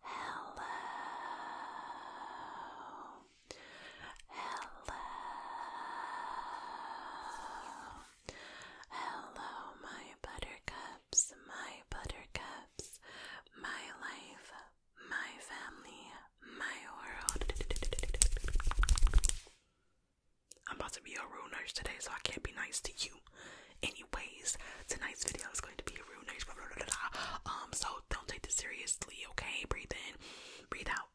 Hello. Hello. Hello, my buttercups, my buttercups, my life, my family, my world. I'm about to be a real nurse today, so I can't be nice to you. Anyways, tonight's video is going to be um, so don't take this seriously, okay? Breathe in, breathe out,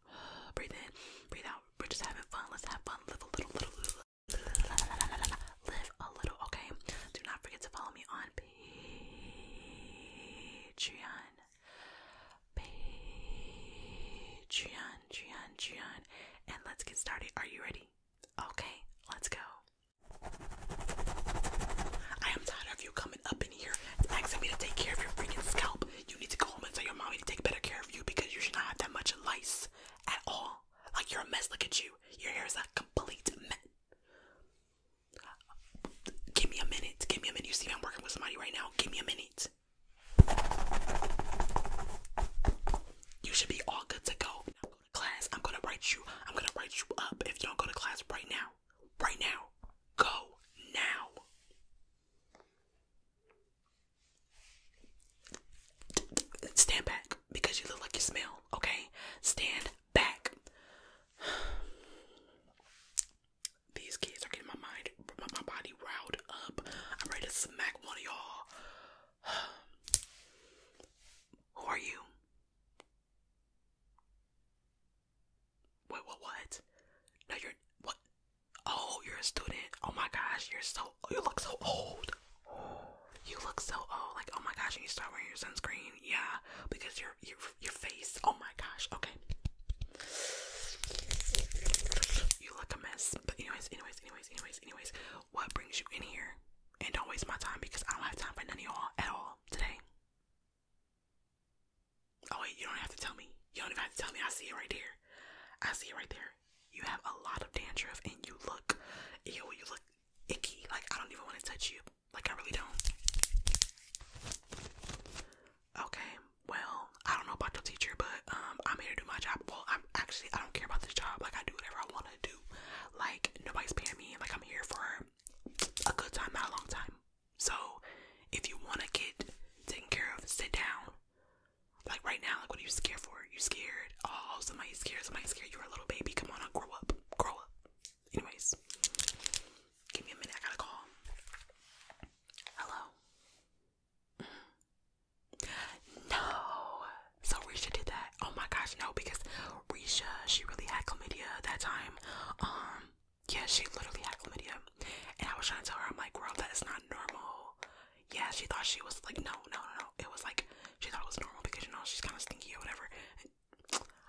breathe in, breathe out. We're just having fun. Let's have fun. Live a little, little, little, live a little, okay? Do not forget to follow me on Patreon. Patreon, Patreon, Patreon, and let's get started. Are you ready? Okay, let's go. I am tired of you coming up in here asking me to take care of your freaking scalp. You need to go home and tell your mommy to take better care of you because you should not have that much lice at all. Like you're a mess. Look at you. Your hair is a complete mess. Give me a minute. Give me a minute. You see, I'm working with somebody right now. Give me a minute. You should be all good to go. go to class. I'm gonna write you. I'm gonna write you up if you do go to class right now. Right now. Go now. Stand back because you look like you smell, okay? Stand back. These kids are getting my mind, my body riled up. I'm ready to smack one of y'all. Who are you? Wait, what? What? No, you're what? Oh, you're a student. Oh my gosh, you're so. You look so old. You look so old. Like, oh my gosh, you start wearing your sunscreen. Yeah, because your your your face. Oh my gosh. Okay. You look a mess. But anyways, anyways, anyways, anyways, anyways. What brings you in here? And don't waste my time because I don't have time for none of y'all at all today? Oh wait, you don't have to tell me. You don't even have to tell me. I see it right here. I see it right there. You have a lot of dandruff and you look, ew, you look icky. Like I don't even want to touch you. Like I really don't. Okay, well, I don't know about your teacher, but um, I'm here to do my job. Well, I'm actually I don't care about this job. Like I do whatever I want to do. Like nobody's paying me. Like I'm here for a good time, not a long time. So if you want to get taken care of, sit down. Like right now, like what are you scared for? You scared? Oh, somebody's scared. Somebody's scared. You're a little baby. Come on, I'll grow up. Grow up. Anyways, give me a minute. I gotta call. Hello. Mm. No. So Risha did that. Oh my gosh, no, because Risha, she really had chlamydia that time. Um, yeah, she literally had chlamydia. And I was trying to tell her, I'm like, girl, that is not normal. Yeah, she thought she was like, no, no, no, no. It was like, she thought it was normal because, you know, she's kind of stinky or whatever.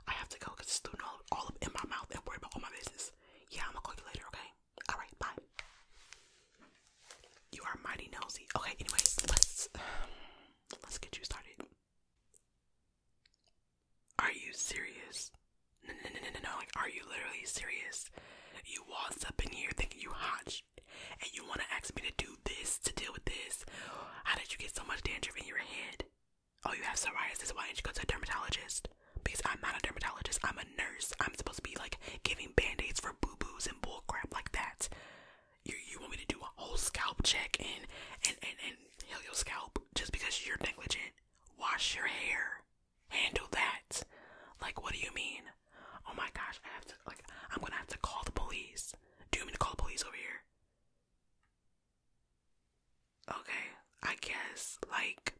I have to go because it's doing all, all up in my mouth and worry about all my business. Yeah, I'm gonna call you later, okay? Alright, bye. You are mighty nosy. Okay, anyways, let's let's get you started. Are you serious? No, no, no, no, no, like, are you literally serious? You waltz up in here thinking you hot, and you want to ask me to do this, to deal with this? How did you get so much dandruff in your head? Oh, you have psoriasis, why didn't you go to a dermatologist? Because I'm not a dermatologist, I'm a nurse. I'm supposed to be, like, giving band-aids for boo-boos and bullcrap like that. You you want me to do a whole scalp check and and and and heal your scalp just because you're negligent? Wash your hair, handle that. Like what do you mean? Oh my gosh, I have to like I'm gonna have to call the police. Do you want to call the police over here? Okay, I guess like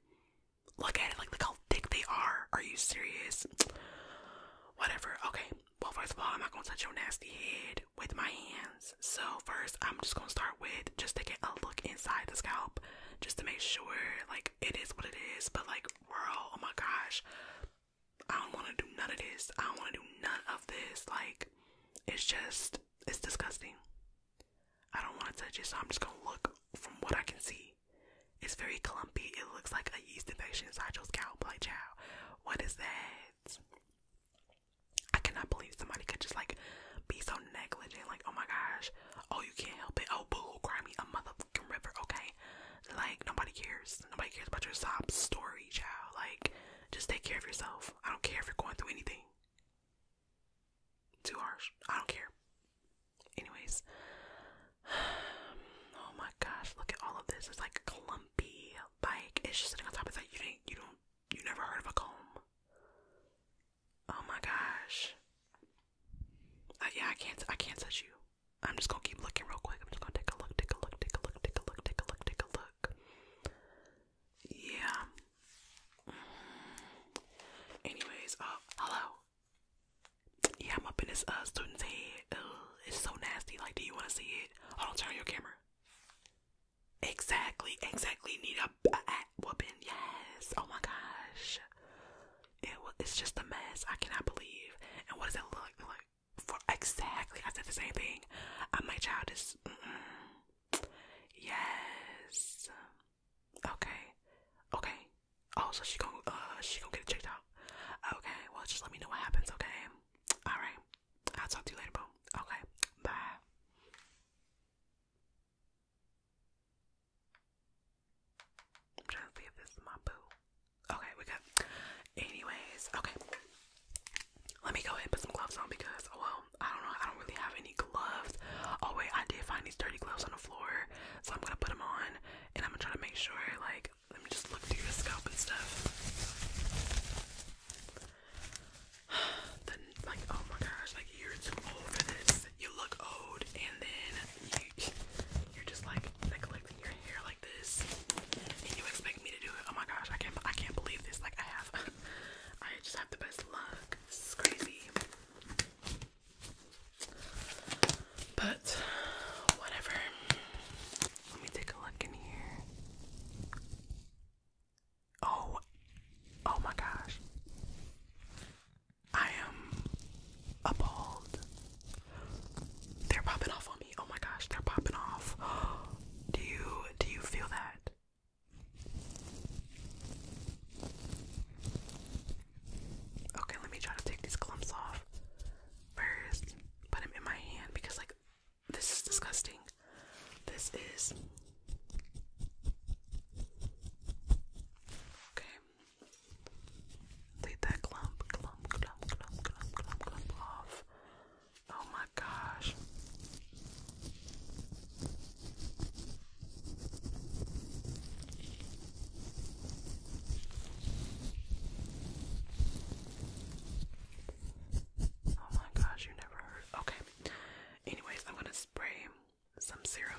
look at it like look how thick they are. Are you serious? Whatever. Okay, well, first of all, I'm not gonna touch your nasty head with my hands. So first, I'm just gonna start with just taking a look inside the scalp, just to make sure like it is what it is. But like, girl, oh my gosh, I don't wanna do none of this. I don't wanna do none of this. Like, it's just, it's disgusting. I don't wanna touch it, so I'm just gonna look from what I can see. It's very clumpy. It looks like a yeast infection inside your scalp. Like, child, what is that? I cannot believe somebody could just like be so negligent, like, oh my gosh, oh you can't help it, oh boo, cry me a motherfucking river, okay? Like nobody cares. Nobody cares about your sob story, child. Like, just take care of yourself. I don't care if you're going through anything. Too harsh. I don't care. Anyways. Oh my gosh, look at all of this. It's like clumpy bike. It's just sitting on top of that. You didn't. You don't. You never heard of a comb. Oh my gosh. Uh, yeah, I can't. I can't touch you. I'm just gonna keep looking real quick. I'm just gonna take a look. Take a look. Take a look. Take a look. Take a look. Take a look. Yeah. Mm. Anyways, uh, hello. Yeah, I'm up in this uh student's head. Ugh, it's so nasty. Like, do you want to see did. Oh, don't turn on your camera. Exactly, exactly. Need a, weapon? Yes. Oh my gosh. It, it's just a mess. I cannot believe. And what does it look like? For exactly, I said the same thing. my child is. Mm Yes. Okay. Okay. Also, oh, so she gonna uh she gonna get checked out. Okay. Well, just let me know what happens. Okay. All right. I'll talk to you later, boo. Okay, bye. trying to see if this is my boo. Okay, we good. Anyways, okay. Let me go ahead put some gloves on because, well, I don't know. I don't really have any gloves. Oh, wait, I did find these dirty gloves on the floor. So I'm going to put them on and I'm going to try to make sure, like, let me just look through your scalp and stuff. Then, like, oh my gosh, like you're too old for this. You look old, and then you, are just like neglecting your hair like this, and you expect me to do it. Oh my gosh, I can't, I can't believe this. Like, I have, I just have the best luck. This is crazy. But whatever. Let me take a look in here. Oh, oh my gosh. I am appalled. They're popping off on me. Oh my gosh, they're popping off. Do you do you feel that? Okay, let me try to take these clumps off first put them in my hand because like this is disgusting. This is okay. Take that clump, clump, clump, clump, clump, clump, clump off. Oh my gosh. Oh my gosh, you never heard. Okay. Anyways, I'm gonna spray some serum.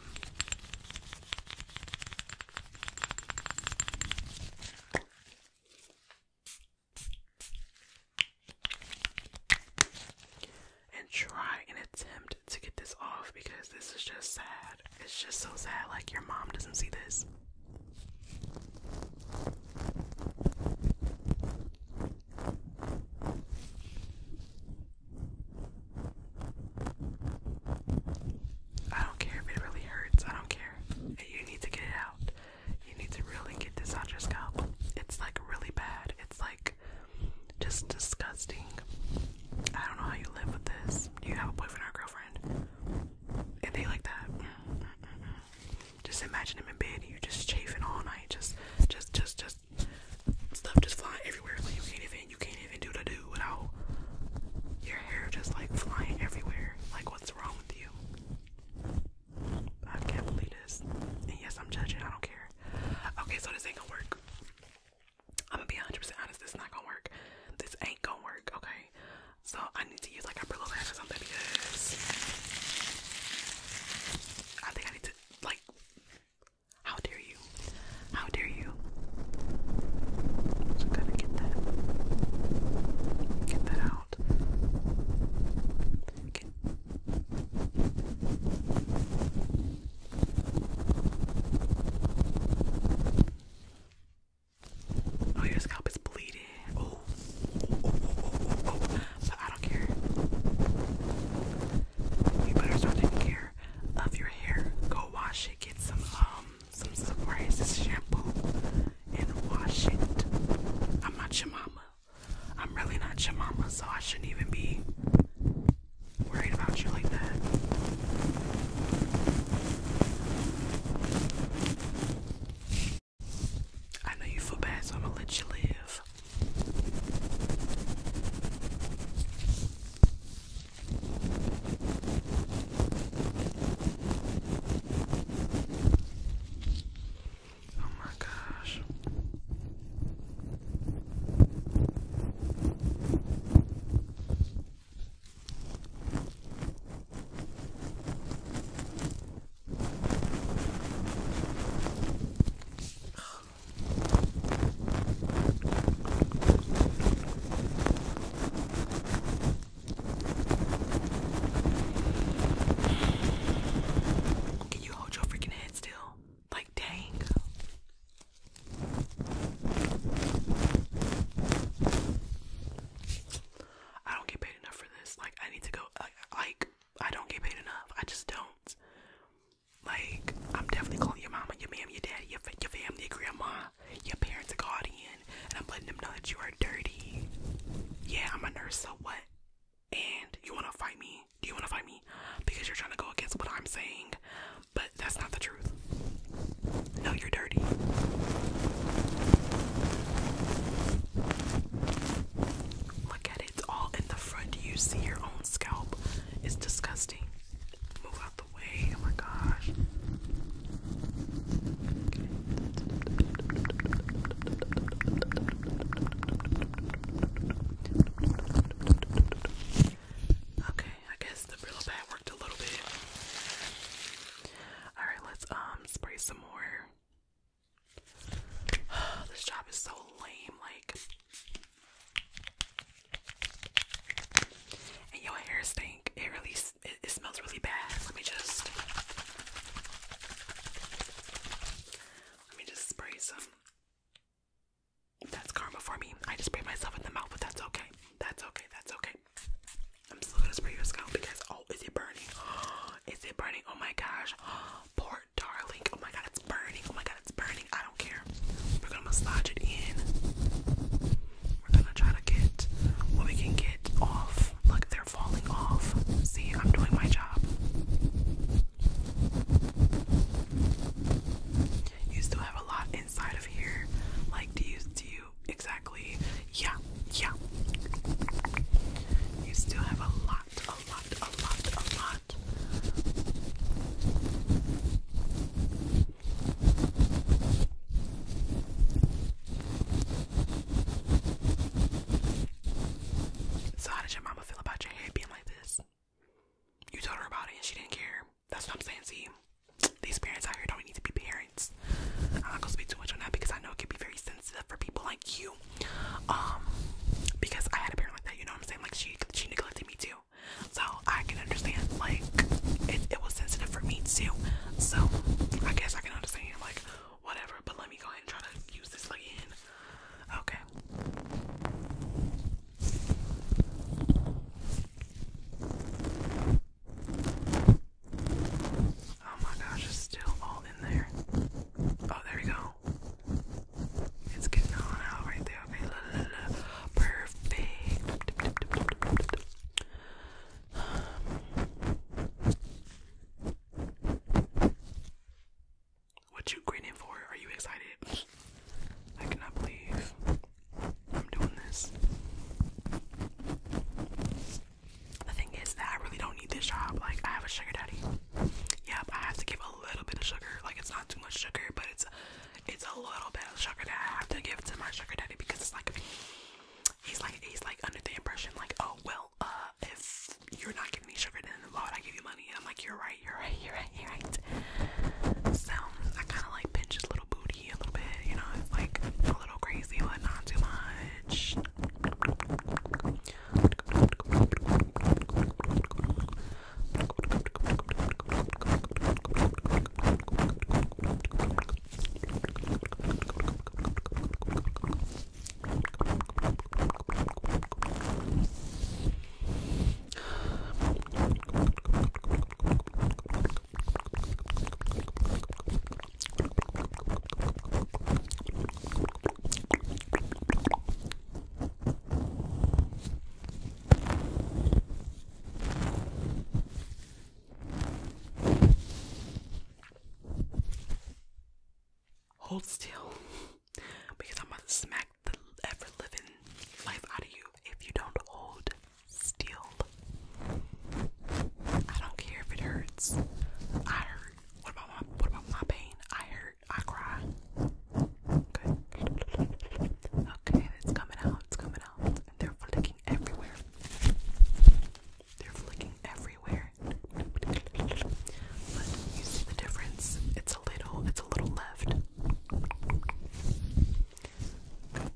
And try and attempt to get this off because this is just sad. It's just so sad. Like, your mom doesn't see this. I don't care if it really hurts. I don't care. You need to get it out. You need to really get this on your scalp. It's like really bad. It's like just disgusting. I don't know how you live with this. Do You have a boyfriend or girlfriend? And they like that. Mm, mm, mm, just imagine him in bed and you are just chafing all night. Just, just, just, just stuff just flying everywhere. Like you can't even, you can't even do the do without your hair just like flying everywhere. Like what's wrong with you? I can't believe this. And yes, I'm judging. I don't care. Okay, so this ain't gonna work. I'm gonna be 100% honest. This is not gonna work. This ain't gonna work. Okay. So I need to use like a Brillo pen or something because I think I need to like how dare you? How dare you? So gotta get that get that out. Get Oh, your scalp is bleeding. Oh, oh, oh, oh, oh, oh, oh. But I don't care. You better start taking care of your hair. Go wash it. Get some um some surprises shampoo and wash it. I'm not your mama. I'm really not your mama, so I shouldn't even be worried about you like that. I know you feel bad, so I'm gonna let you live. Oh my gosh. Can you hold your freaking head still? Like, dang. I don't get paid enough for this. Like I need to go. Like, I don't get paid enough. I just don't. Like I'm definitely calling your mama, your mom, your dad, your your family, your grandma, your parents, a guardian, and I'm letting them know that you are dirty. Yeah, I'm a nurse. So what? And you wanna fight me? Do you wanna fight me? Because you're trying to go against what I'm saying. But that's not the truth. No, you're dirty. Look at it, it's all in the front. you see your own scalp? It's disgusting. Move out the way. Oh my gosh. Okay. I guess the Brillo pad worked a little bit. Alright, let's um spray some more. this job is so lame, like and your hair stink. It really it, it smells really bad. Let me just let me just spray some. That's karma for me. I just spray myself in the mouth, but that's okay. That's okay. That's okay. I'm still gonna spray your scalp because oh, is it burning? Is it burning? Oh my gosh. Poor darling. Oh my god, it's burning. Oh my god, it's burning. I don't care. We're gonna massage it in. We're gonna try to get what we can get off. Look, they're falling off. See, I'm doing my job. You still have a lot inside of here. Like, do you do exactly. Yeah, yeah. You still have a lot, a lot, a lot, a lot. So, how did your mama feel about your hair being like this? You told her about it and she didn't care. That's what I'm saying. See, these parents out here don't need to be parents. I'm not gonna speak too much on that because I know it can be very sensitive for people like you. Um, because I had a parent like that, you know what I'm saying? Like she she neglected me too. So I can understand like it, it was sensitive for me too. So I guess I can understand like whatever, but let me go ahead and try to use this again. Okay. Oh my gosh, it's still all in there. Oh, there we go. It's getting out right there. perfect. What you grinning for? Are you excited? I cannot believe I'm doing this. The thing is that I really don't need this job. Like, I have a sugar daddy. Yep, I have to give a little bit of sugar. Like, it's not too much sugar, but it's it's a little bit of sugar that I have to give to my sugar daddy because it's like he's like he's like under the impression like, oh well, uh, if you're not giving me sugar, then why would I give you money? I'm like, you're right, you're right, you're right, you're right. So I kind of like pinch his little booty a little bit, you know, It's like a little crazy, but not too much. Hold still because I'm about to smack the ever living life out of you if you don't hold Still, I don't care if it hurts. I hurt. What about my What about my pain? I hurt. I cry. Okay. Okay, it's coming out. It's coming out. they're flicking everywhere. They're flicking everywhere. But you see the difference? It's a little. It's a little left. Okay.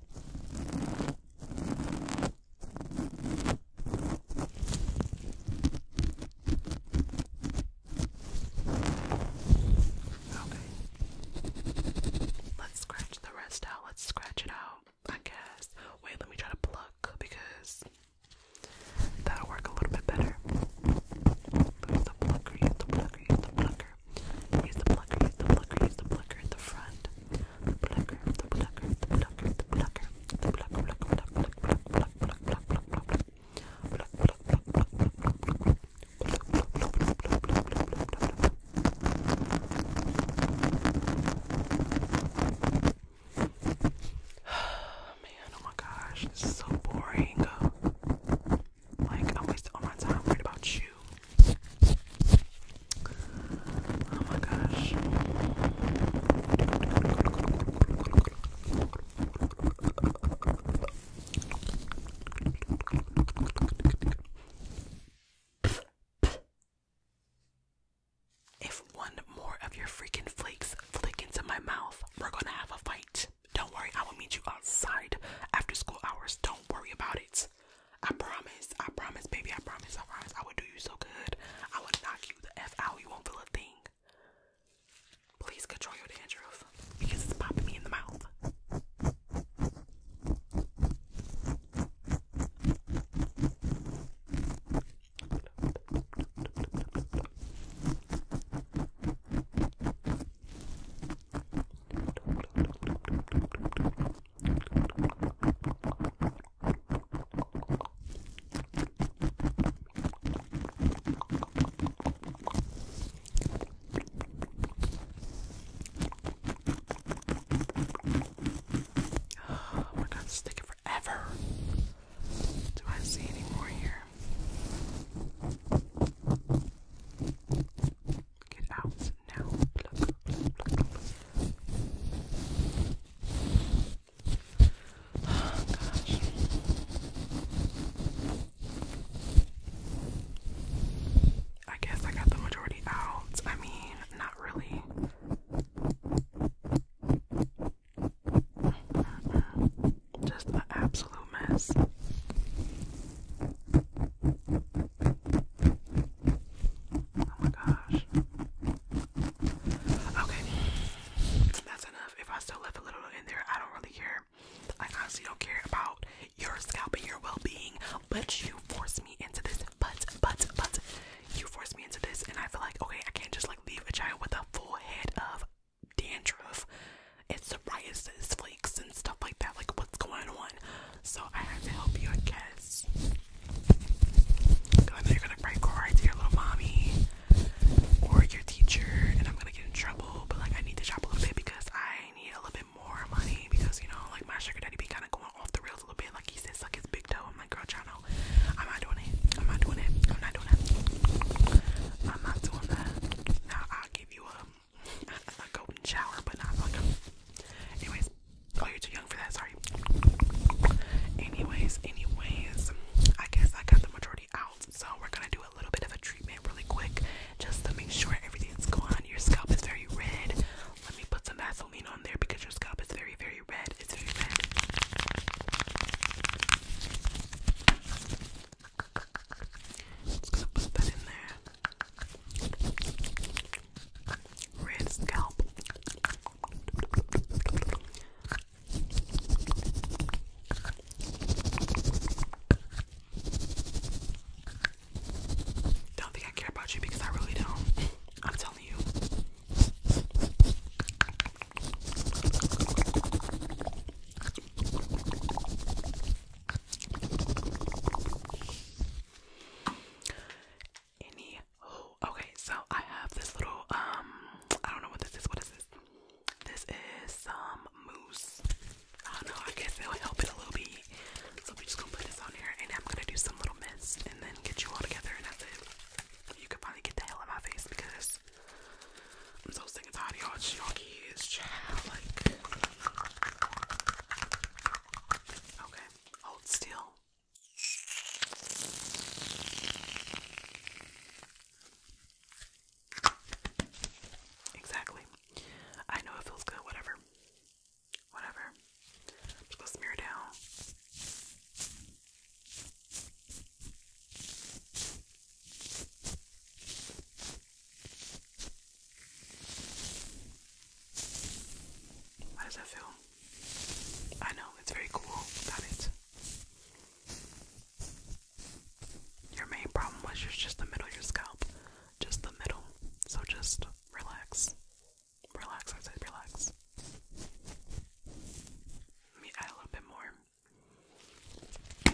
Let's scratch the rest out. Let's scratch it out, I guess. Wait, let me try to pluck because that'll work a little bit better. the plucker, the plucker, the plucker. Use the plucker, use the plucker, use the plucker at the front. The plucker, the plucker, the plucker, the plucker, the plucker, pluck, pluck, pluck, pluck, pluck, pluck, pluck, pluck, pluck, pluck. Pluck, pluck, pluck, pluck, pluck, pluck, pluck. Man, oh my gosh, this is so boring. Like, I wasted all my time worried about you. Oh my gosh. If one more of your freaking flakes flick into my mouth, we're gonna have a fight. Don't worry, I will meet you outside after school hours. Don't worry about it. I promise, I promise, baby, I promise, I promise. I will do you so good. I will knock you the F out. You won't feel a thing. Please control your dandruff because it's popping me in the mouth. Oh, we're gonna stick it forever. Do I see any more here? Get out now. gosh. I guess I got the majority out. I mean, not really. Just an absolute mess. Oh my gosh. Okay. That's enough. If I still left a little in there, I don't really care. I honestly don't care about your scalp and your well being, but you forced me into this. But, but, but, you forced me into this, and I feel like, okay, I can't just like leave a child with a full head of dandruff, it's psoriasis, flakes, and stuff like that. Like, what's going on? So, I have to help you, I guess. Because I know you're gonna break right your little mommy or your teacher, and I'm gonna get in trouble. But, like, I need to shop a little bit because I need a little bit more money. Because, you know, like, my sugar daddy be kind of going off the rails a little bit. Like, he says, his big toe. I'm like, girl, child, I'm not doing it. I'm not doing it. I'm not doing it. I'm not doing that. Now, I'll give you a a, a golden shower, but not like Anyways, oh, you're too young for that. Sorry. Anyways, anyways, I guess I got the majority out, so we're gonna do a little bit of a treatment really quick, just to make sure everything's gone. Your scalp is very red. Let me put some Vaseline on there because your scalp is very, very red. It's very red. Red scalp. Don't think I care about you because I really don't. I'm telling you. Any oh, okay, so I have this little um I don't know what this is. What is this? This is some um, mousse. I don't know, I guess it'll help it a little bit. So we're just gonna put this on here and I'm gonna do some little mist and then get you all together and that's it. You can finally get the hell out of my face because I'm so sick and tired of y'all, y'all kids, child. Like, okay, hold still. Exactly. I know it feels good, whatever. Whatever. I'm just gonna smear down. How does that feel? I know, it's very cool, got it. Your main problem was just the middle of your scalp. Just the middle. So just relax. Relax, I said relax. Let me add a little bit more. Do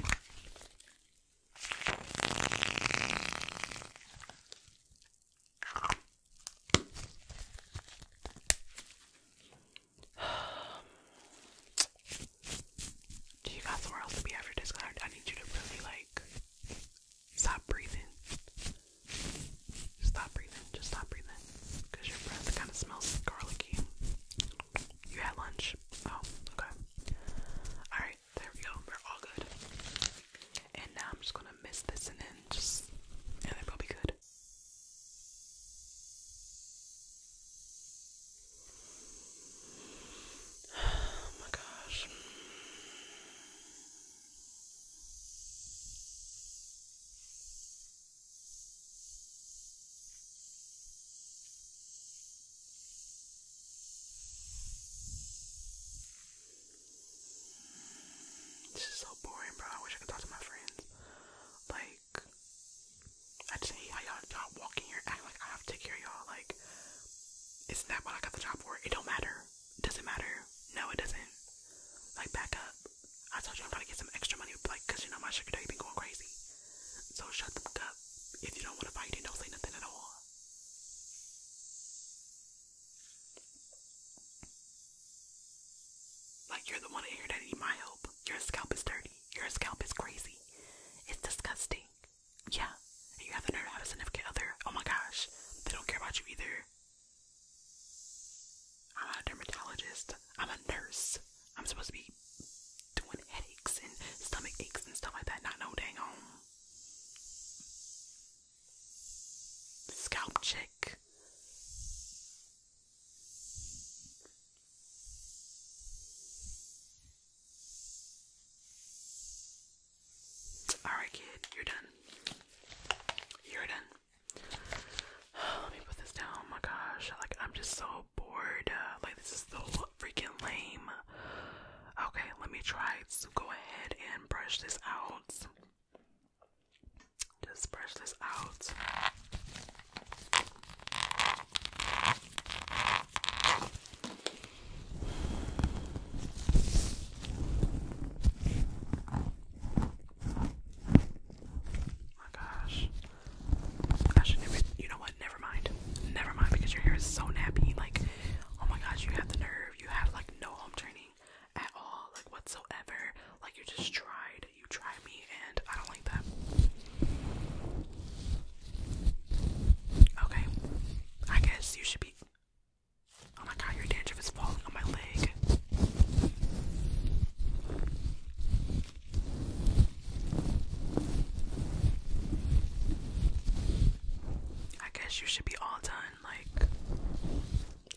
you got somewhere else to be after this? I, need you to really like stop breathing. Stop breathing. Just stop breathing. Cause your breath kind of smells garlicky. You had lunch? Oh, okay. Alright, there we go. We're all good. And now I'm just gonna mist this and then just and then will be good. Oh my gosh. This is so boring, bro. I wish I could talk to my friends. Like, I just hate y'all, y'all walk here act like I have to take care of y'all. Like, it's not what I got the job for. It don't matter. It doesn't matter. No, it doesn't. Like, back up. I told you I'm trying to get some extra money, like, because you know my sugar daddy been going crazy. So shut them up. If you don't want to fight it, don't say nothing at all. Like you're the one here that need my help. Your scalp is dirty. Your scalp is crazy. It's disgusting. Yeah. you have the nerve to have other. Oh my gosh. They don't care about you either. I'm a dermatologist. I'm a nurse. I'm supposed to be doing headaches and stomach aches and stuff like that. Not no dang on. Scalp check. Alright, kid, you're done. You're done. Let me put this down. Oh my gosh, like I'm just so bored. Uh, like, this is so freaking lame. Okay, let me try to go ahead and brush this out. Just brush this out. Oh my gosh you know what? Never mind. Never mind because your hair is so nappy. Like, oh my gosh, you have the nerve. You have like no home training at all, like whatsoever. Like you just tried. You tried me, and I don't like that. Okay, I guess you should be. Oh my god, your dandruff is falling on my leg. I guess you should be all done, like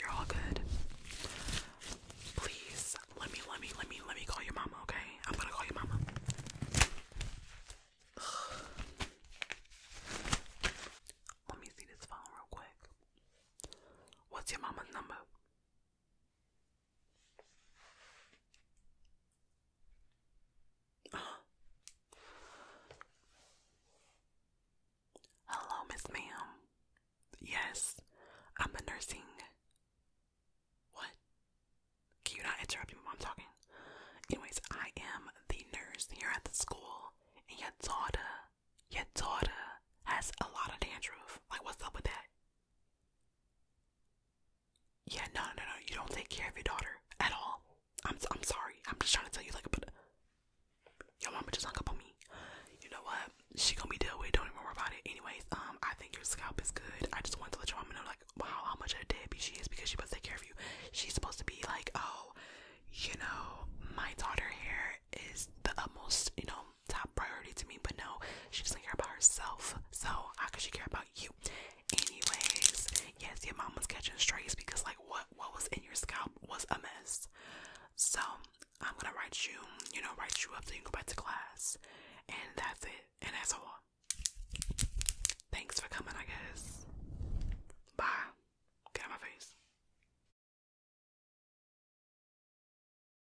you're all good. Please let me let me let me let me call your mama, okay? I'm gonna call your mama. Let me see this phone real quick. What's your mama's number? Hello, Miss Ma'am. Yes, I'm a nursing. What? Can you not interrupt me while I'm talking? Anyways, I am the nurse here at the school, and your daughter, your daughter has a lot of dandruff. Like, what's up with that? Yeah, no, no, no. You don't take care of your daughter at all. I'm, I'm sorry. I'm just trying to tell you, like, but your mama just hung up on me. You know what? She gonna be dealt with. Don't even worry about it. Anyways, um, I think your scalp is good. I just wanted to let your mama know, like, wow, how much of a deadbeat she is because she must take care of you. She's supposed to be like, oh, you know, my daughter here is the utmost, you know, top priority to me, but no, she doesn't care about herself. So how could she care about you? Anyways, yes, your mom was catching strays because like what what was in your scalp was a mess. So I'm gonna write you, you know, write you up so you can go back to class. And that's it. And that's all. Thanks for coming, I guess. Bye. Get out my face.